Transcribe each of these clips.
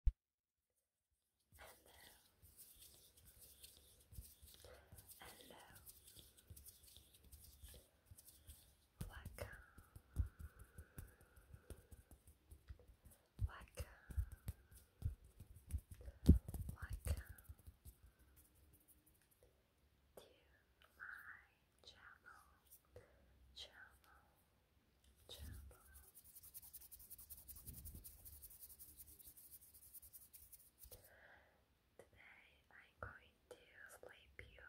Hello. Welcome. Welcome. Welcome to my channel. Channel channel. Today I'm going to sleep you.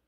Erase it.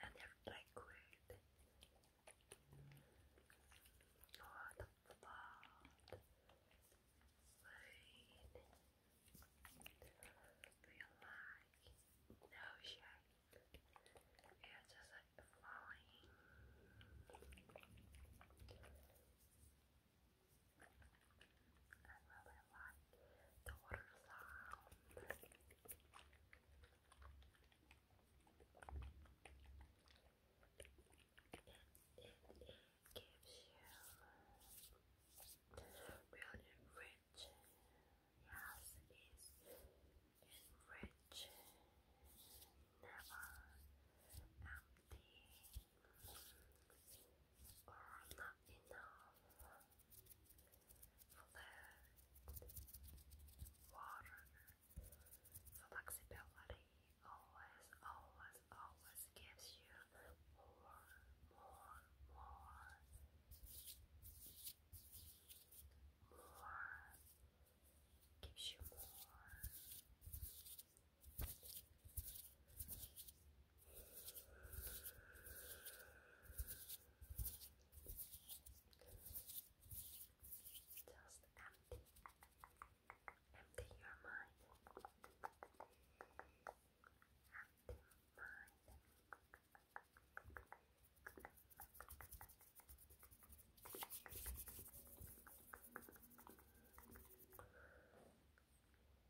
and they liquid. What about rain? Do you like oh, the ocean? It's just like flowing. I It, gives you really rich, yes, it is rich, never empty or not enough water. So flexibility always, always, always gives you more, more, more, more, gives you more. Just empty, empty your mind, empty mind.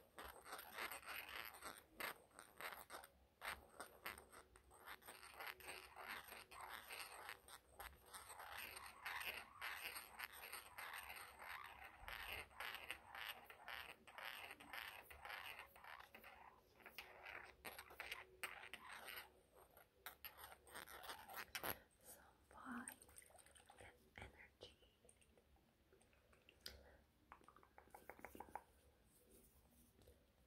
Some vibe and energy I want to give you really good energy and it is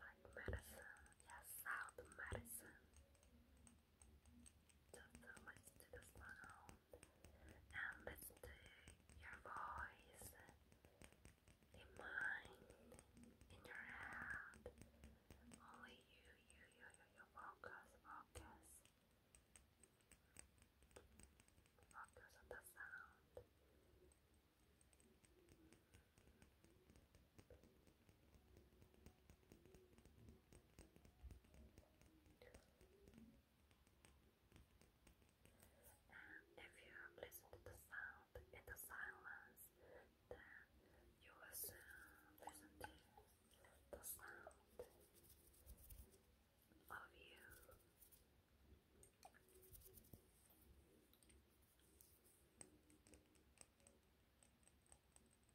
like medicine, yes, sound medicine. Just to listen to the sound and listen to your voice in mind, in your head. Only you, you, you, you, you focus, focus. Focus on the sound. And if you listen to the sound in the silence, then you will soon to the sound of you.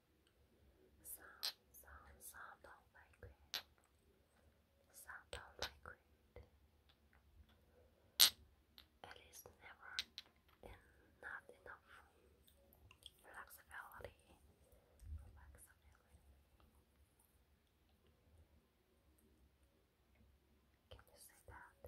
Some, some, some don't like it. Some don't like it. It is never in, not enough flexibility. Can you say that?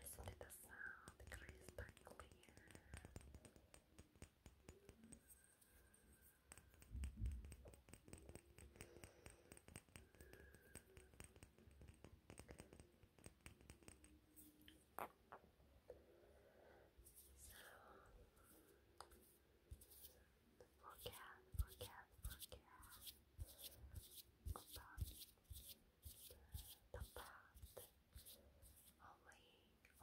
Listen to the sound, crisp and clear. So, forget, forget, the, the path. Only, only, only you are. You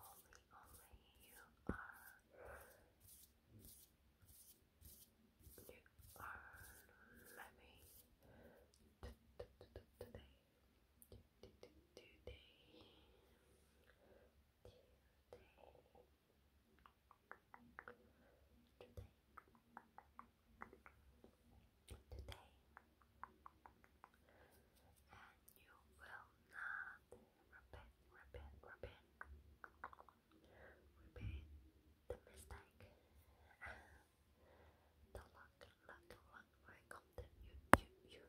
are living today. Today. Today today, and you will not repeat, repeat, repeat, repeat the mistake. the luck, luck, luck will come you, you, you.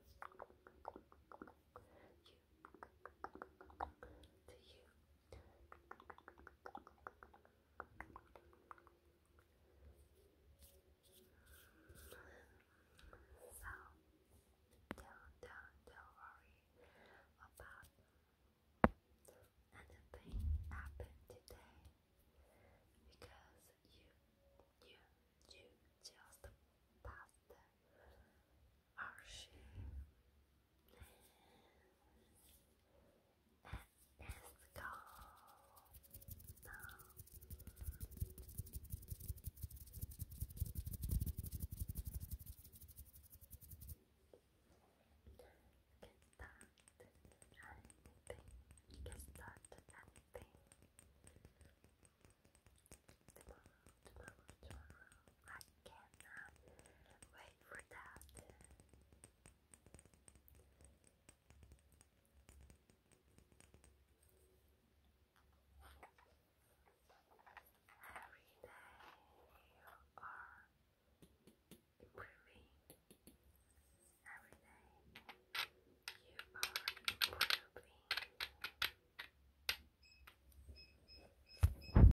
You, to you, so don't don't worry about anything happened today because you you you just passed our Let's go now. Get started anything. Get started anything. tomorrow, tomorrow. I cannot wait for that. Every day you are improving. Every day you are improving.